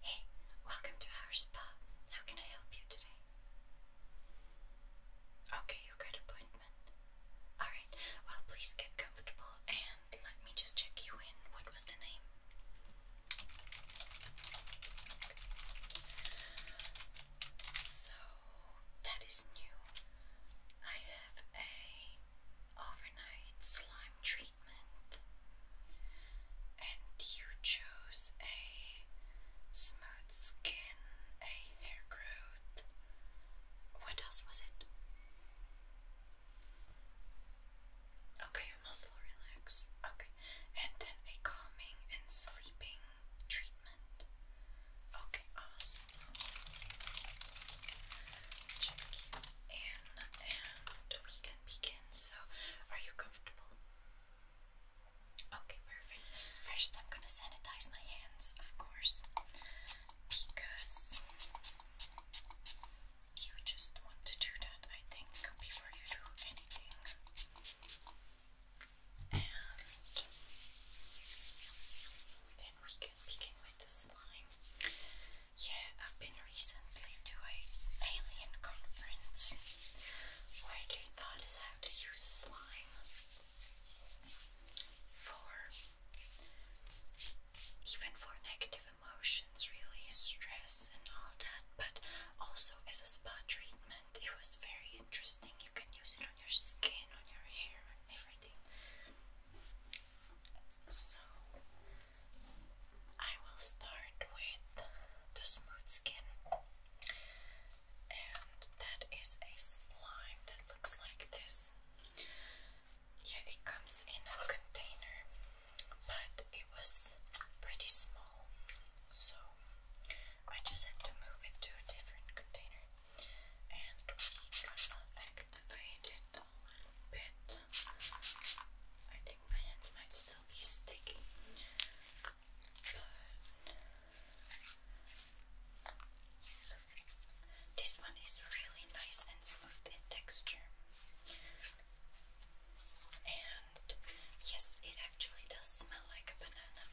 Hey, welcome to our spa. How can I help you today? Okay, you got appointment. Alright, well, please get comfortable and let me just check you in. What was the name? So, that is new. I have a overnight slime treatment. And you chose a smooth skin, a hair growth. What else was it? Okay, your muscle relax. Okay, and then a calming and sleeping treatment. Okay, awesome. us check in, and we begin. So, are you comfortable? Okay, perfect. First, I'm gonna sanitize my hands, of course, because you just want to do that, I think, before you do anything. And then we can begin with the slime. Yeah, I've been recently to a alien conference where they taught us how to use slime for even for negative emotions, really stress and all that, but also as a spa treatment. It was very interesting. You can use it on your skin, on your hair, on everything. So I will start with the smooth skin, and that is a slime that looks like this. Yeah, it comes in a container, but it was pretty small, so I just had to move it to a different container, and we kind of activate it a little bit. I think my hands might still be sticky. this one is really nice and smooth in texture. And yes, it actually does smell like a banana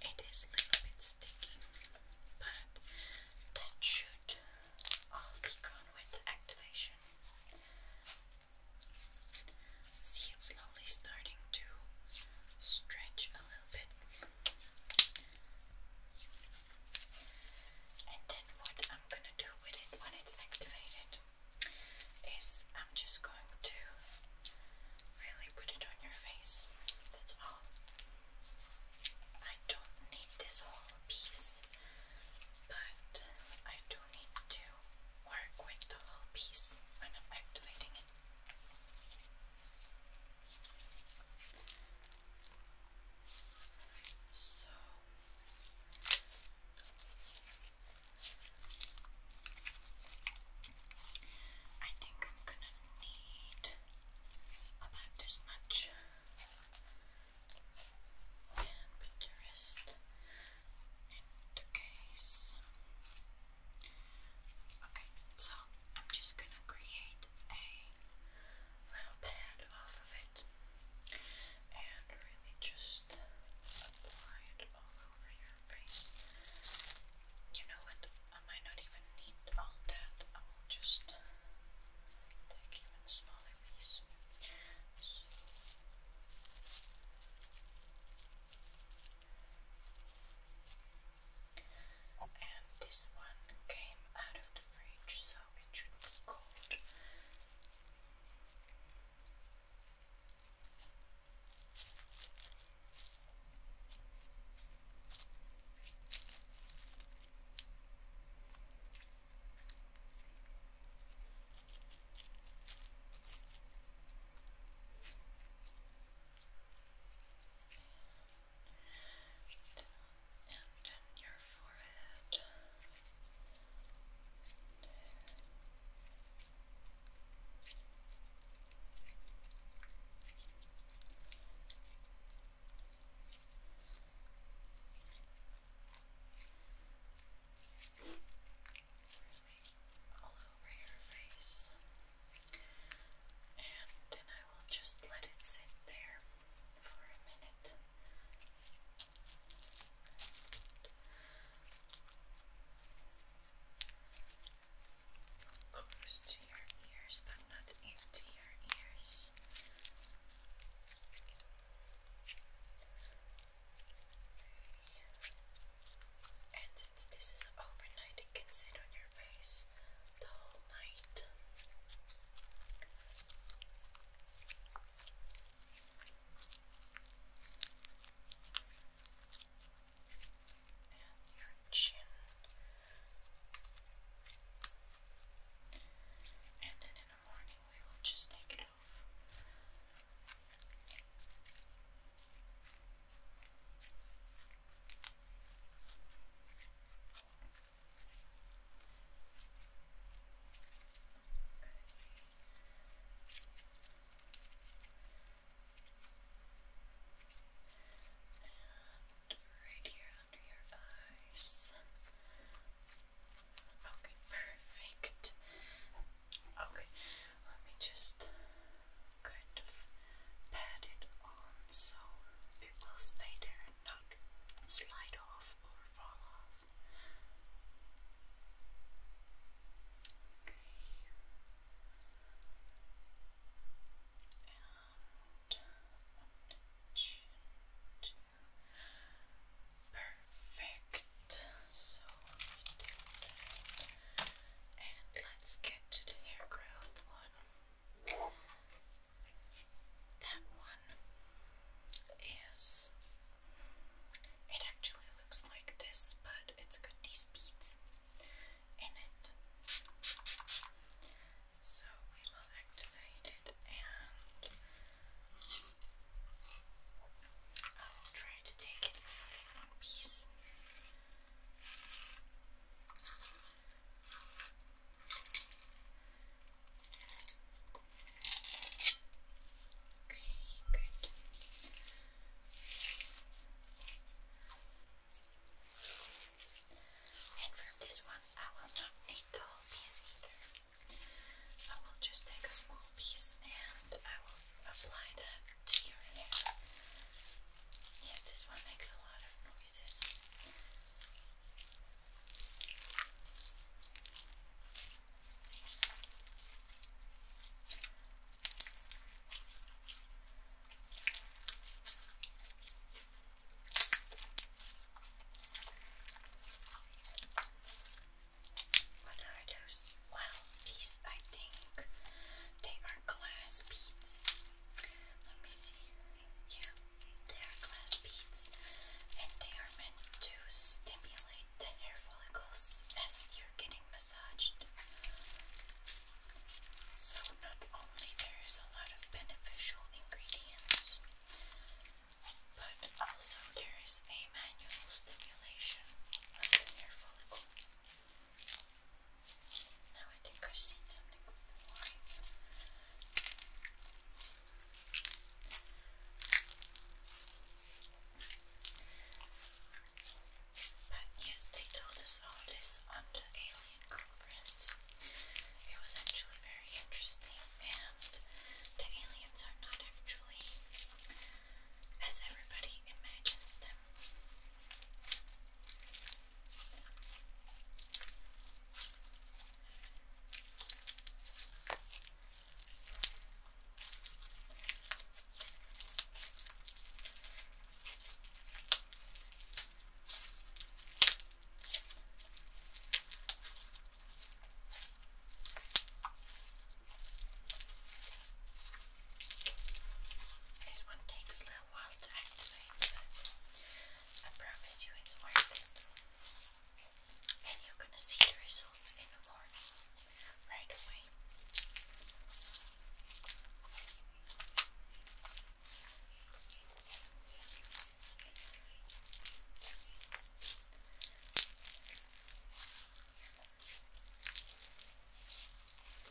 it is a little bit sticky, but that should be gone with activation. See, it's slowly starting to stretch a little bit. And then what I'm gonna do with it when it's activated is I'm just going to really put it on your face. That's all. I don't need this whole piece, but I do need to work with the whole piece when I'm activating it. So I think I'm gonna need about this much and the rest in the case. Okay, so I'm just gonna create a little pad off of it and really just apply it all over your face. You know what? I might not even need all that. I will just take even smaller piece. And this one came out of the fridge, so it should be cold and in your forehead. all over your face and then I will just let it sit there for a minute. Close to your ears, but not into your ears. And this is overnight, it can sit on your face the whole night. And your chin. And then in the morning we will just take it off. And right here under your eyes. Okay, perfect. Okay, let me just kind of pat it on so it will stay there and not slide off or fall off. And perfect. So And let's get to the hair growth one. That one is. It actually looks like this, but it's got these beads in it. So we will activate it and I will try to take it in one piece good. And for this one, I will not need the whole piece either. I will just take a small piece and I will apply that to your hair Yes, this one makes a lot of noises. What are those? Well, these I think they are glass beads. Let me see. Here, they are glass beads and they are meant to stimulate the hair follicles as you're getting massaged. So not only there is a lot of beneficial ingredients, but also there is a manual stimulation of the hair follicle. But yes, they told us all this on the Alien Conference. It was actually very interesting, and the aliens are not actually as everybody imagines them this one takes a a while to activate, but I promise you it's worth it. And you're gonna see the results in the morning right away.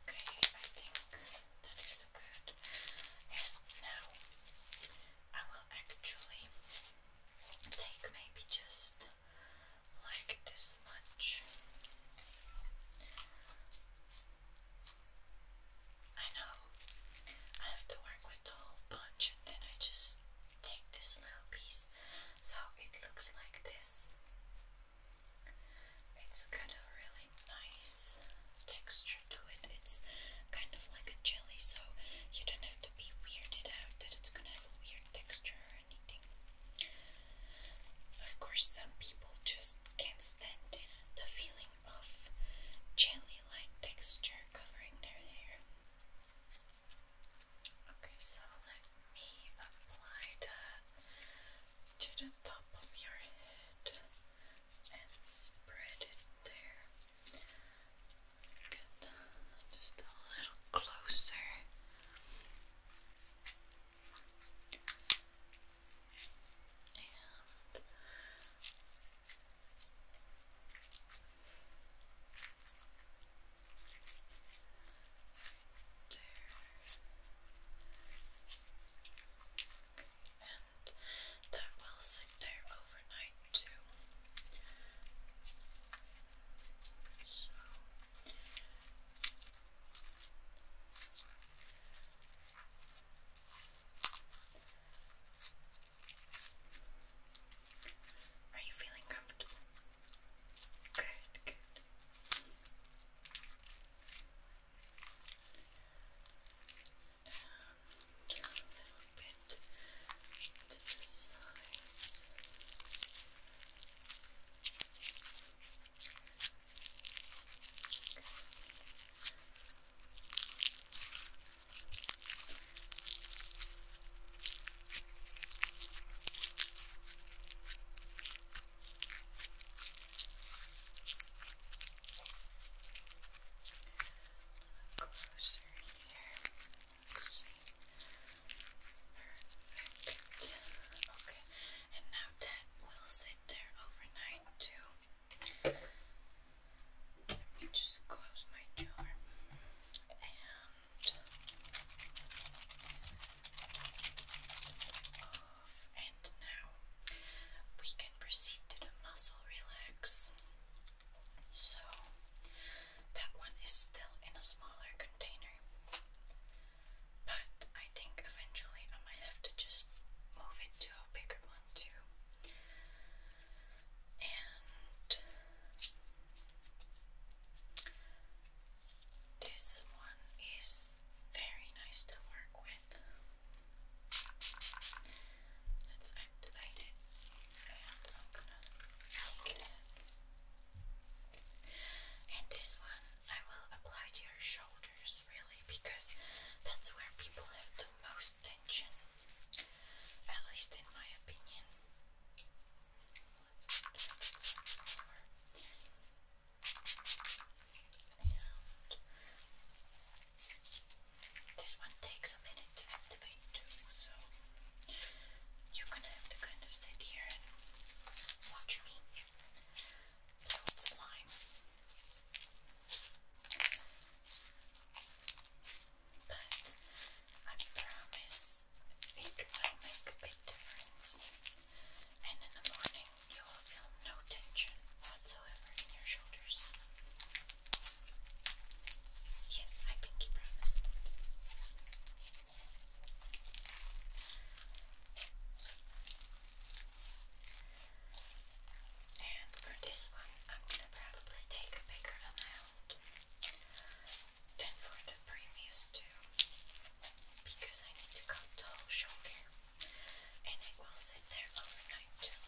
Okay, I think that is good. And now I will actually take maybe just like this much. I know I have to work with the whole bunch, and then I just take this little piece so it looks like this. It's got a really nice texture to it. It's kind of like a jelly, so you don't have to be weirded out that it's gonna have a weird texture or anything. Of course, some people just can't stand the feeling of jelly like texture covering their hair. Okay, so me apply that uh, to the top of your head and spread it there. Good. Just a little closer and that will sit there overnight too. So are you feeling comfortable? Good, good. And a little bit to the sides. Okay. Closer here. Okay. And now that will sit there overnight too. Let me just close my jar and and now we can proceed to the muscle relax. So that one is still in a smaller container, but I think eventually I might have to just move it to a bigger one too. And this one is very nice to work with. Let's And this one I will apply to your shoulders really because that's where people have the most tension, at least in my opinion let's this one takes a minute to activate too, so you're gonna have to kind of sit here and watch me build slime. But I promise it will make a big difference and in the morning you will feel no tension whatsoever in your shoulders. Yes, I pinky promise. And for this one, I'm gonna probably take a bigger amount than for the previous two because I need to cut the whole shoulder and it will sit there overnight. Okay,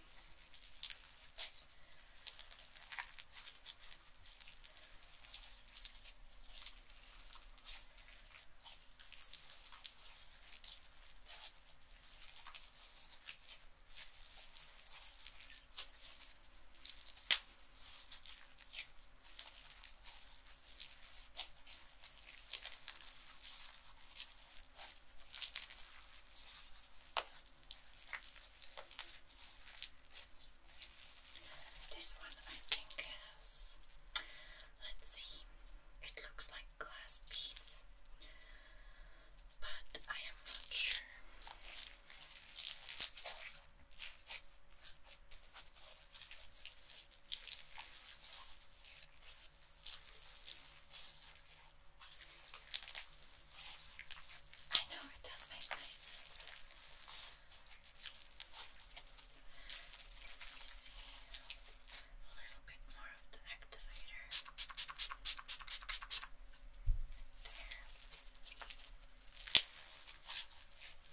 this one I think is. let's see, it looks like glass beads, but I am not sure. I know it does make nice sense. Let me see a little bit more of the activator. There.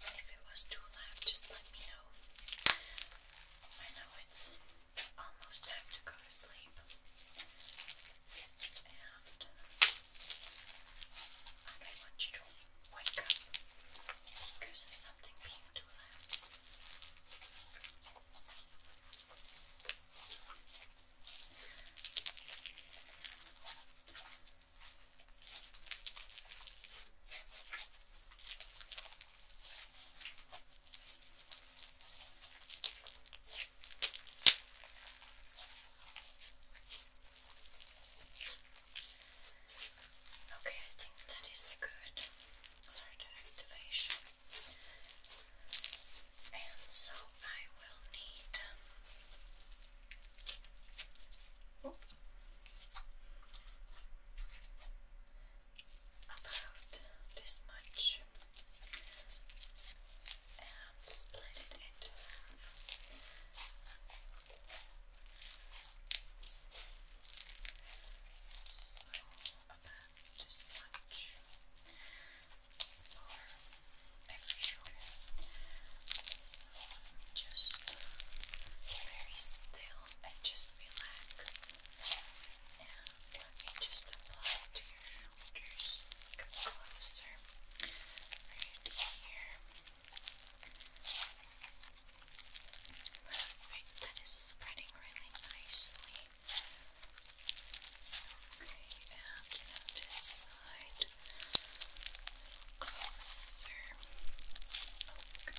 If it was too loud, just let me know. I know it's almost time to go to sleep, and I don't want you to wake up because of something being too loud. Okay, I think that is good for the activation. And so I will need um, oh. about this much and split it into so about this much for every just i very still and just relax. And let me just apply to your shoulders. Come closer. Right here. Perfect. That is spreading really nicely. Okay, and now this side. A little closer. Okay.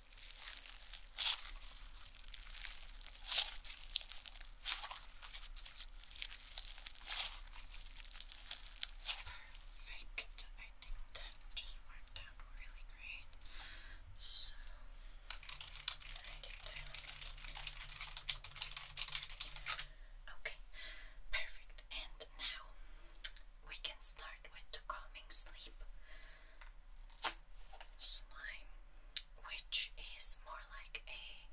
Perfect. I think that just worked out really great. So Okay, perfect. And now we can start with the calming sleep slime, which is more like a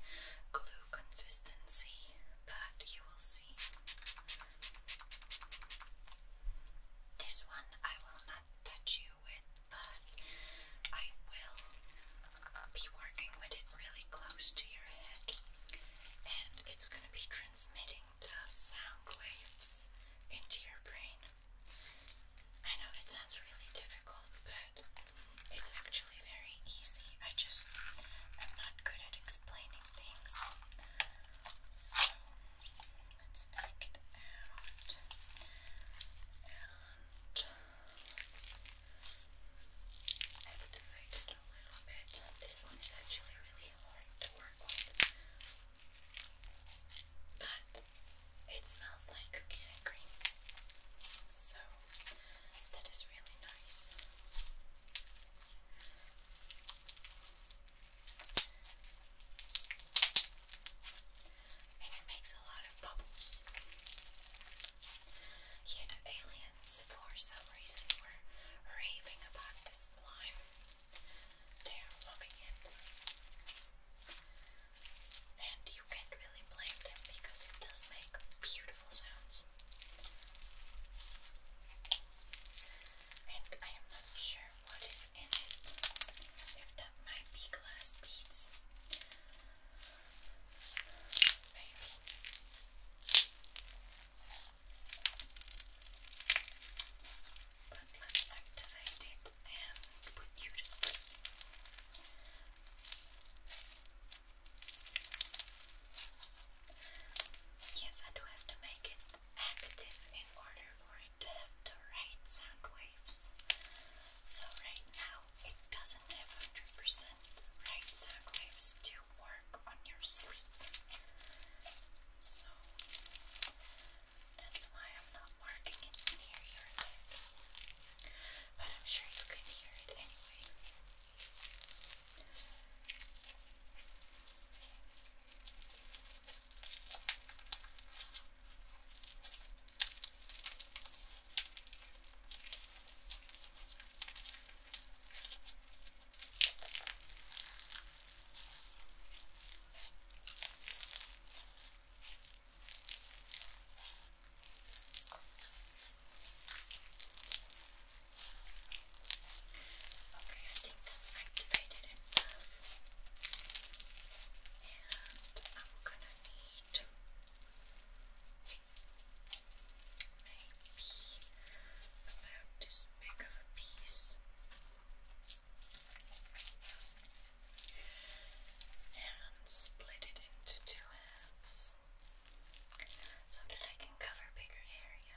glue consistency, but you will see. This one I will not touch you with, but I will be working with it really close to your head, and it's going to be transmitting the sound waves into your brain. I know it sounds really difficult, but it's actually very easy. I just, I'm not good at explaining things. So, let's take it out. And let's a little bit. This one is actually really hard to work with. But it smells like cookies and cream. So that is really nice. And it makes a lot of bubbles. Yet aliens, for some reason, were raving about this slime. They are loving it. And you can't really blame them because it does make beautiful sounds. And I am not sure what is in it. If that might be glass beads. Maybe. But let's activate it. Yes, I do have to make it active in order for it to have the right sound waves. So, right now, it doesn't have 100% right sound waves to work on your sleep. So, that's why I'm not marking it near your head. But I'm sure you can hear it anyway. Okay, I think that's activated enough. And um, I'm gonna need maybe about this big of a piece. Okay and split it into two halves so that I can cover bigger area.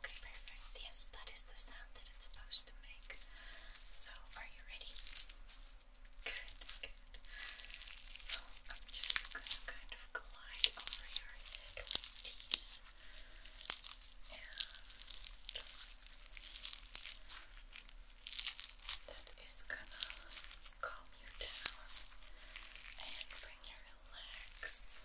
Okay, perfect. Yes, that is the sound that it's supposed to make. So, are you ready? Good, good. So, I'm just going to kind of glide over your head with these and that is gonna calm you down and bring you relax.